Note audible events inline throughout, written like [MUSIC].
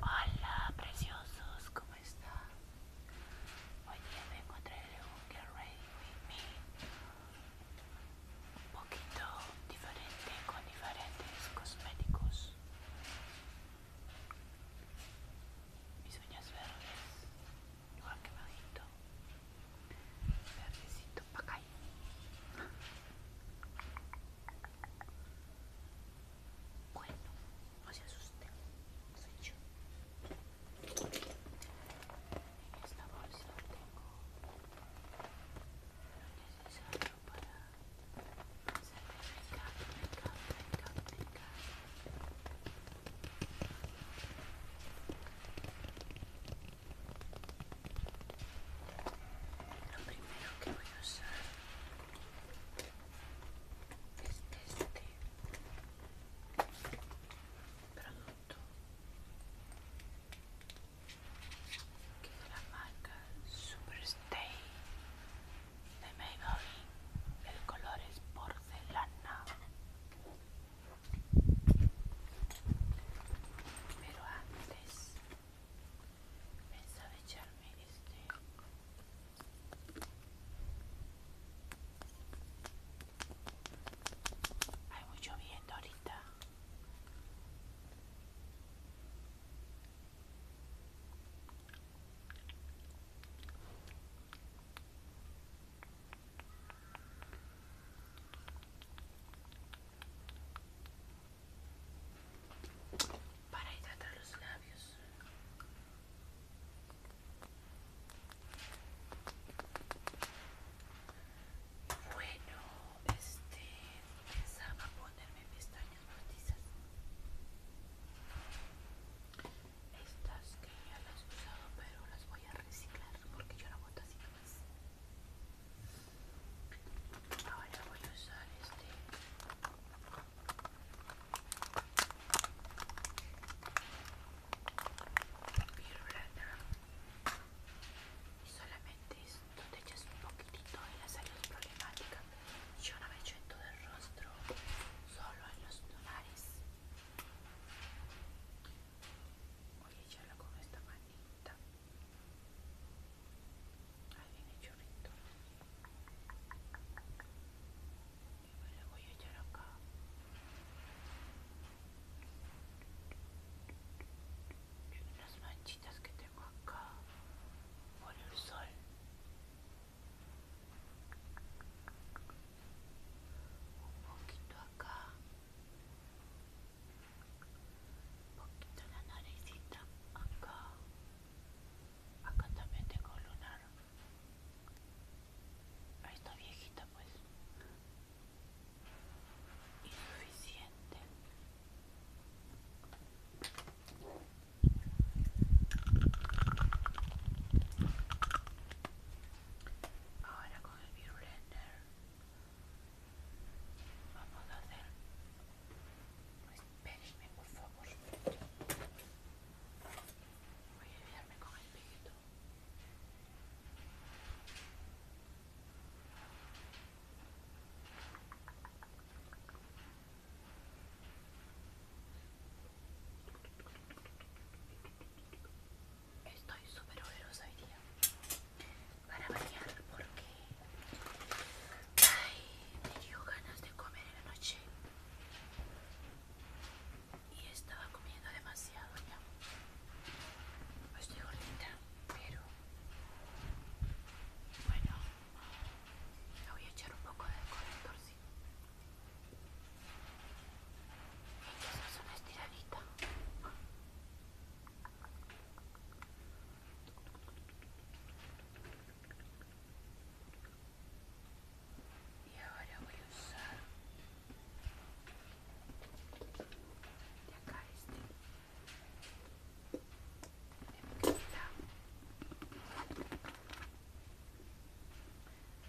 Hola preciosos, ¿cómo están? Hoy día vengo a un Get Ready With Me un poquito diferente con diferentes cosméticos mis uñas verdes igual que bajito verdecito para acá bueno no se asusten soy yo en esta bolsa tengo lo necesario para hacer el make up, make up, make lo primero que voy a usar es este producto que es de la marca Superstay de Maybelline. El color es porcelana. Pero antes pensaba echarme este hay mucho viento ahorita para hidratar los labios. Bueno, este pensaba ponerme pestañas postizas. Estas que ya las he usado, pero las voy a reciclar porque yo no boto así más. Ahora voy a usar este. Y solamente esto te echas un poquitito en la salud problemática. Yo no me echo en todo el rostro, solo en los tonales Voy a echarla con esta manita. Ahí viene chorrito. Y me la voy a echar acá. Y unas manchitas que tengo acá por el sol un poquito acá, un poquito la naricita acá, acá también tengo lunar, ahí está viejita pues, insuficiente. Ahora con el virulender vamos a hacer... Pues, espérenme, por favor. Voy a ayudarme con el pito. Estoy súper olerosa hoy día. Para bañar porque. Ay, me dio ganas de comer en la noche. Y estaba comiendo demasiado ya. Pues estoy gordita, pero. Bueno, le voy a echar un poco de torcido esa es una estiradita. Y ahora voy a usar Ya acá este de mi querida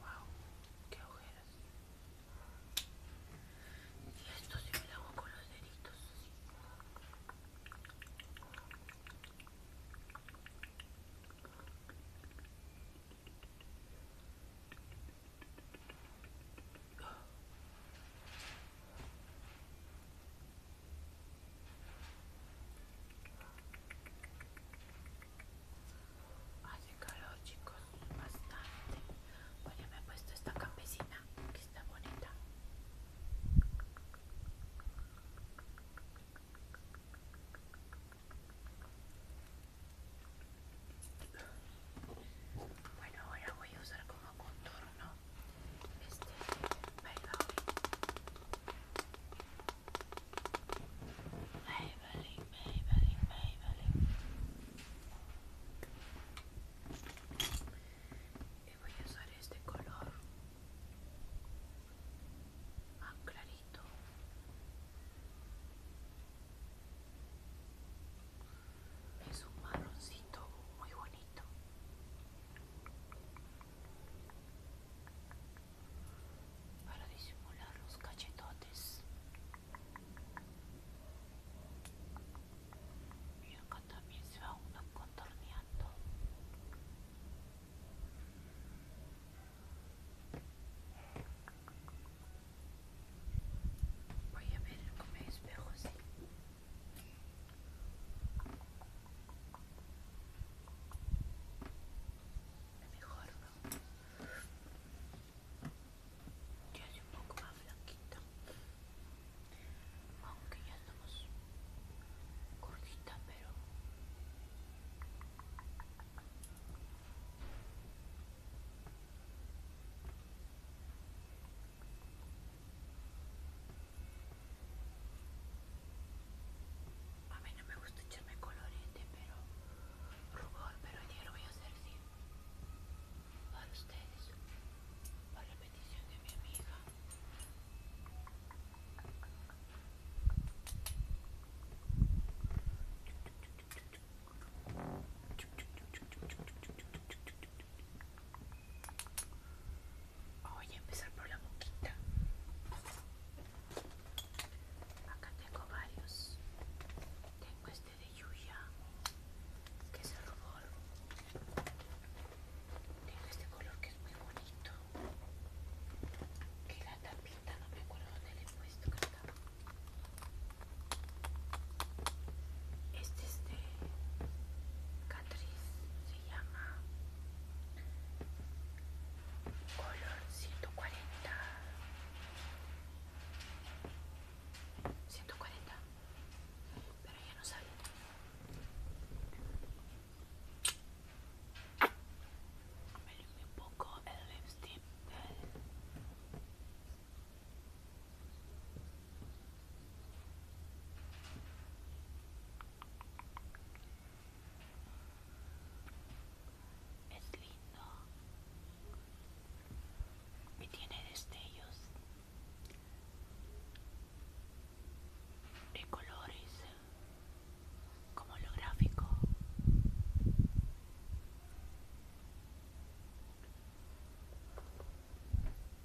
Wow, qué ojeras. Y esto se me lo hago con los deditos. Hace calor, chicos, bastante. ya me he puesto esta campesina que está bonita. Bueno, ahora voy a usar como contorno este Maybelline, Maybelline, Maybelline. Y voy a usar este color más clarito. Es un marroncito muy bonito para disimular los cachetotes y acá también se va uno contorneando voy a ver cómo me espejo así mejor ¿no? Ya es un poco más blanquita. Aunque ya estamos cortita pero... A mí no me gusta echarme colorete, pero rubor, pero ayer lo voy a hacer sí. Para ustedes, para la petición de mi amiga. Voy a empezar por la moquita Acá tengo varios. Tengo este de Yuya, que es el rubor. Tengo este color que es muy bonito. Que la tapita, no me acuerdo dónde le he puesto Este es de Catriz, se llama color 140 140. Pero ya no sale. Me limpié un poco el lipstick es lindo y tiene destellos de colores como lo gráfico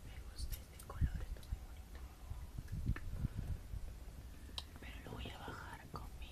me gusta este color está muy bonito pero lo voy a bajar con mi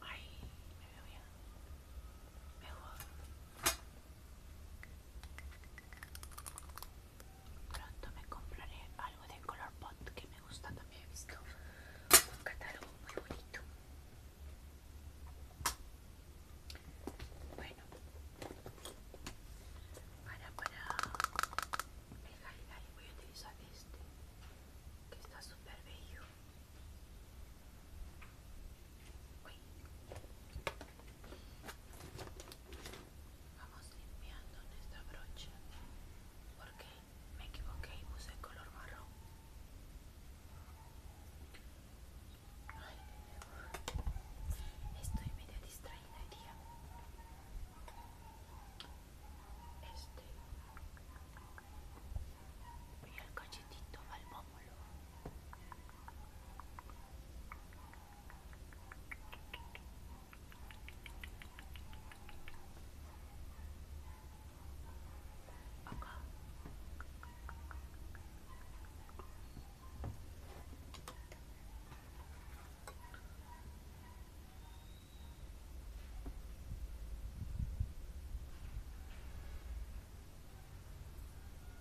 Ay, me veo bien. Me Pronto me compraré algo de color pot que me gusta también. He visto un catálogo muy bonito. Bueno, para para el calidad voy a utilizar este que está súper bello vamos limpiando nuestra brocha porque me equivoqué y puse el color marrón Ay, estoy medio distraída hoy este. Y el cachetito al Acá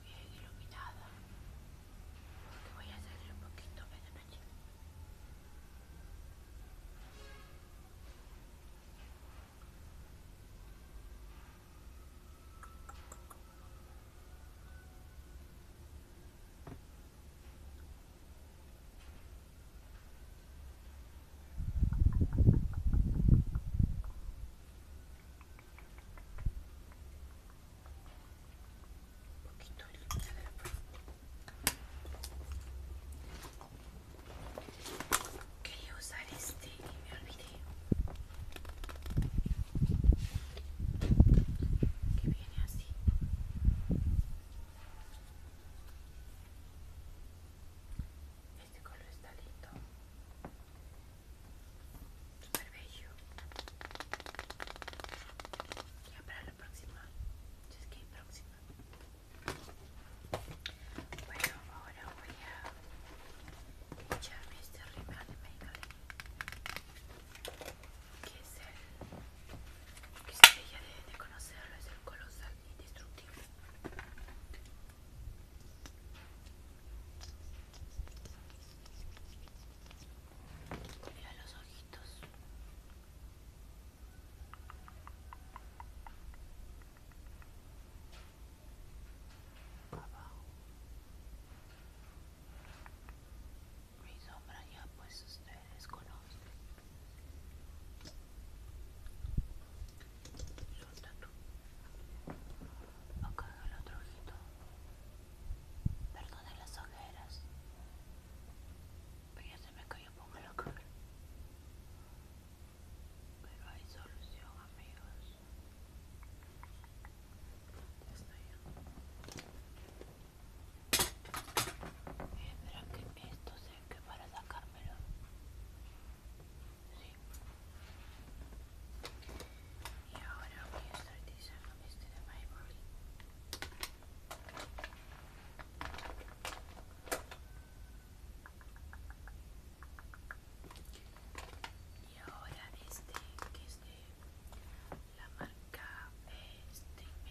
bien iluminada voy a hacer un poquito de noche poquito de limpiadero quería usar este y me video que viene así este color está lindo. Super bello. Ya para la próxima. Si es que próxima. Bueno, ahora voy a echarme este rímel de Maybelline. Que es el que si ella debe de conocerlo es el colosal destructivo. Mira los ojitos. Abajo. Mi sombra ya pues usted me desconoce. suelta tatu. Acá el otro ojito. Perdónen las ojeras. Pero ya se me cayó pongo poco la cara. Pero hay solución, amigos. Estoy yo. esto que estos que para sacármelo y ahora voy a estar utilizando este de Maybelline y ahora este que es de la marca eh,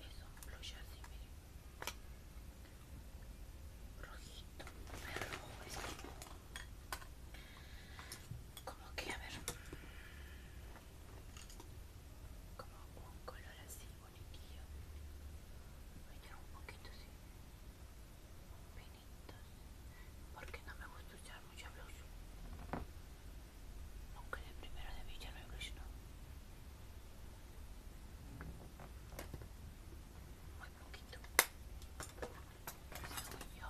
es un blush así, miren rojito, rojo como que a ver como un color así bonitillo Venía un poquito así un poquito porque no me gusta usar mucho blush aunque de primero de Villa no hay Muy poquito. yo.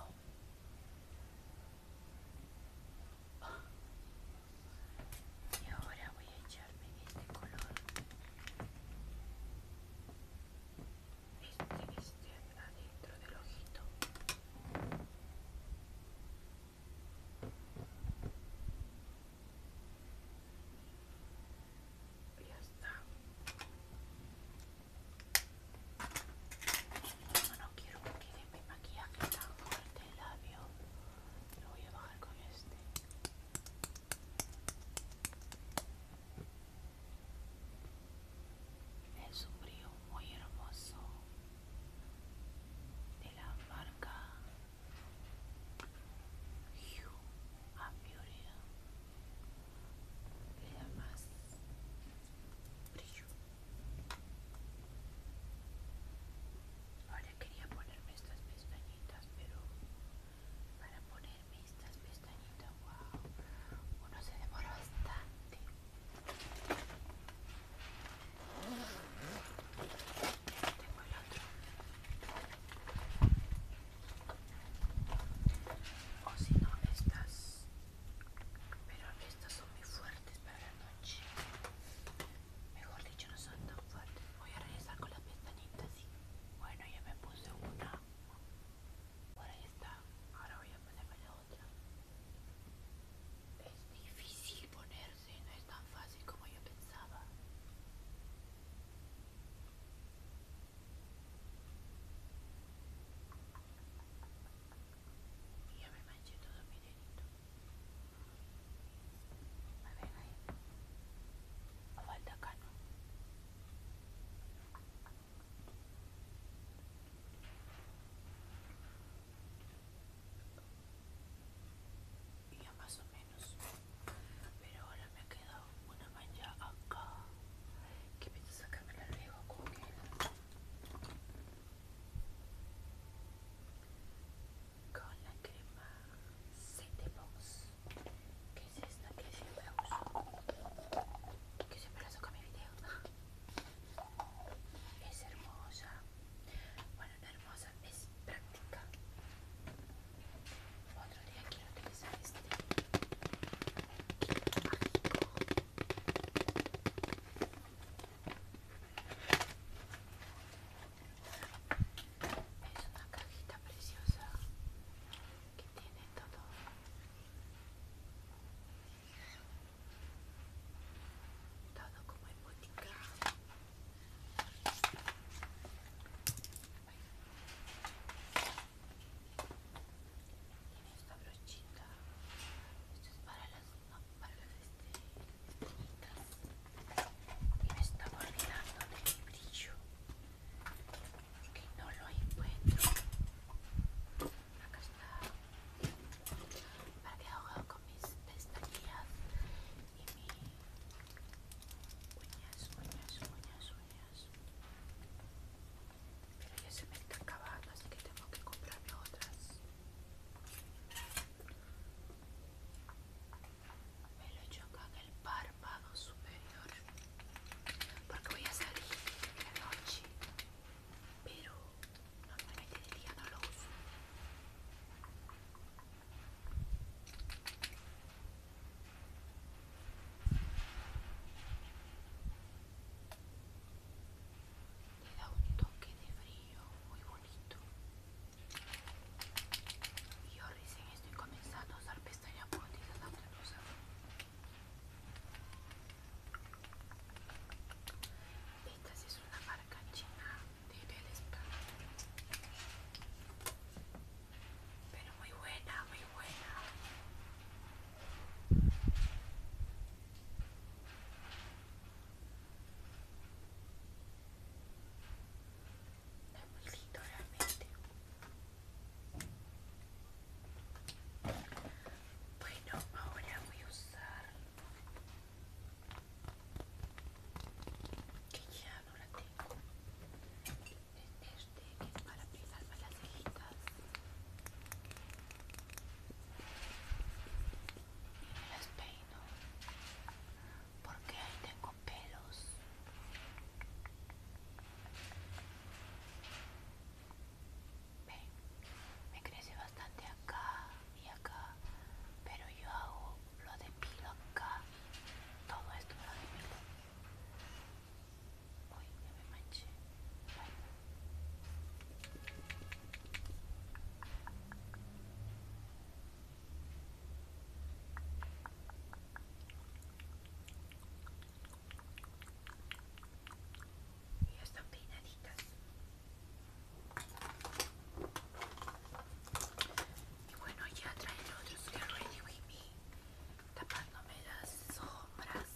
Y ahora voy a echarme este color. Este, que está adentro del ojito. Ya está. no quiero que quede mi maquillaje tan fuerte el labio, lo voy a bajar con este. Es un brillo muy hermoso de la marca a mi oreja Le más brillo. Ahora quería ponerme estas pestañitas, pero para ponerme estas pestañitas, wow, uno se demora bastante. Tengo O si no, estas. Pero estas son muy fuertes para la noche. Mejor dicho, no son tan fuertes. Voy a regresar con las pestañitas. ¿sí? Bueno, ya me puse una. Por ahí está. Ahora voy a ponerme la otra. Es difícil poner Sí, no es tan fácil como yo pensaba. ya me manché todo mi dedito. A ver ahí. O falta calma? ya más o menos pero ahora me ha quedado una mancha acá que a sacarme la luego con la crema Setebox que es esta que siempre uso que siempre la saco mi video [LAUGHS] es hermosa hermosa, es práctica. Otro día quiero utilizar este kit mágico. Es una cajita preciosa que tiene todo. Todo como en botica. Tiene esta brochita. Esto es para las las estreñitas. Y me está olvidando de mi brillo. que no lo encuentro. Acá está. Para que hago con mis pestañas y uñas, uñas, uñas, uñas. Pero ya se me está acabando, así que tengo que comprarme otras. Me lo he en el párpado superior. Porque voy a salir de noche. Pero Normalmente de no lo uso. Le da un toque de frío muy bonito. Y yo recién estoy comenzando a usar pestañas postizas la otra cosa. Esta es una marca china de Pero muy buena, muy buena. Es muy linda realmente. Bueno, ahora voy a usar que ya no la tengo este que es para pegarme las cejitas y me las peino porque ahí tengo pelos me crece bastante acá y acá, pero yo hago lo de acá todo esto lo de depilo uy ya me manché y ya están peinaditas y bueno, ya trae el otro Get Ready With Me tapándome las sombras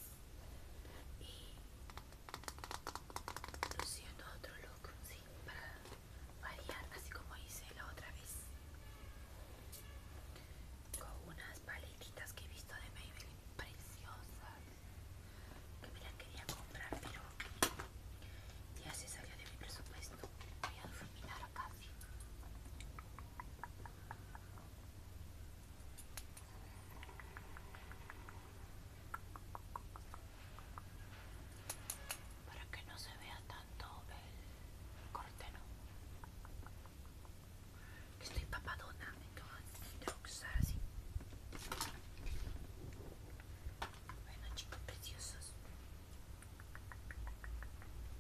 y luciendo otro look, Para variar, así como hice la otra vez con unas paletitas que he visto de Maybelline preciosas que me la quería comprar, pero ya se salió de mi presupuesto. Voy a dormir a Para que no se vea tanto el corte, ¿no? Que estoy papadona, me tengo que usar así. Bueno, chicos preciosos.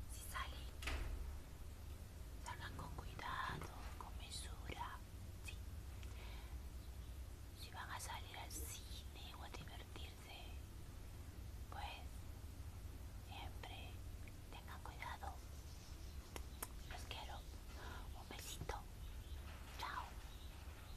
Si salen, salgan con cuidado, con mesura. Sí. Si van a salir al cine o a divertirse, pues siempre tengan cuidado. Los quiero. Un besito. Chao.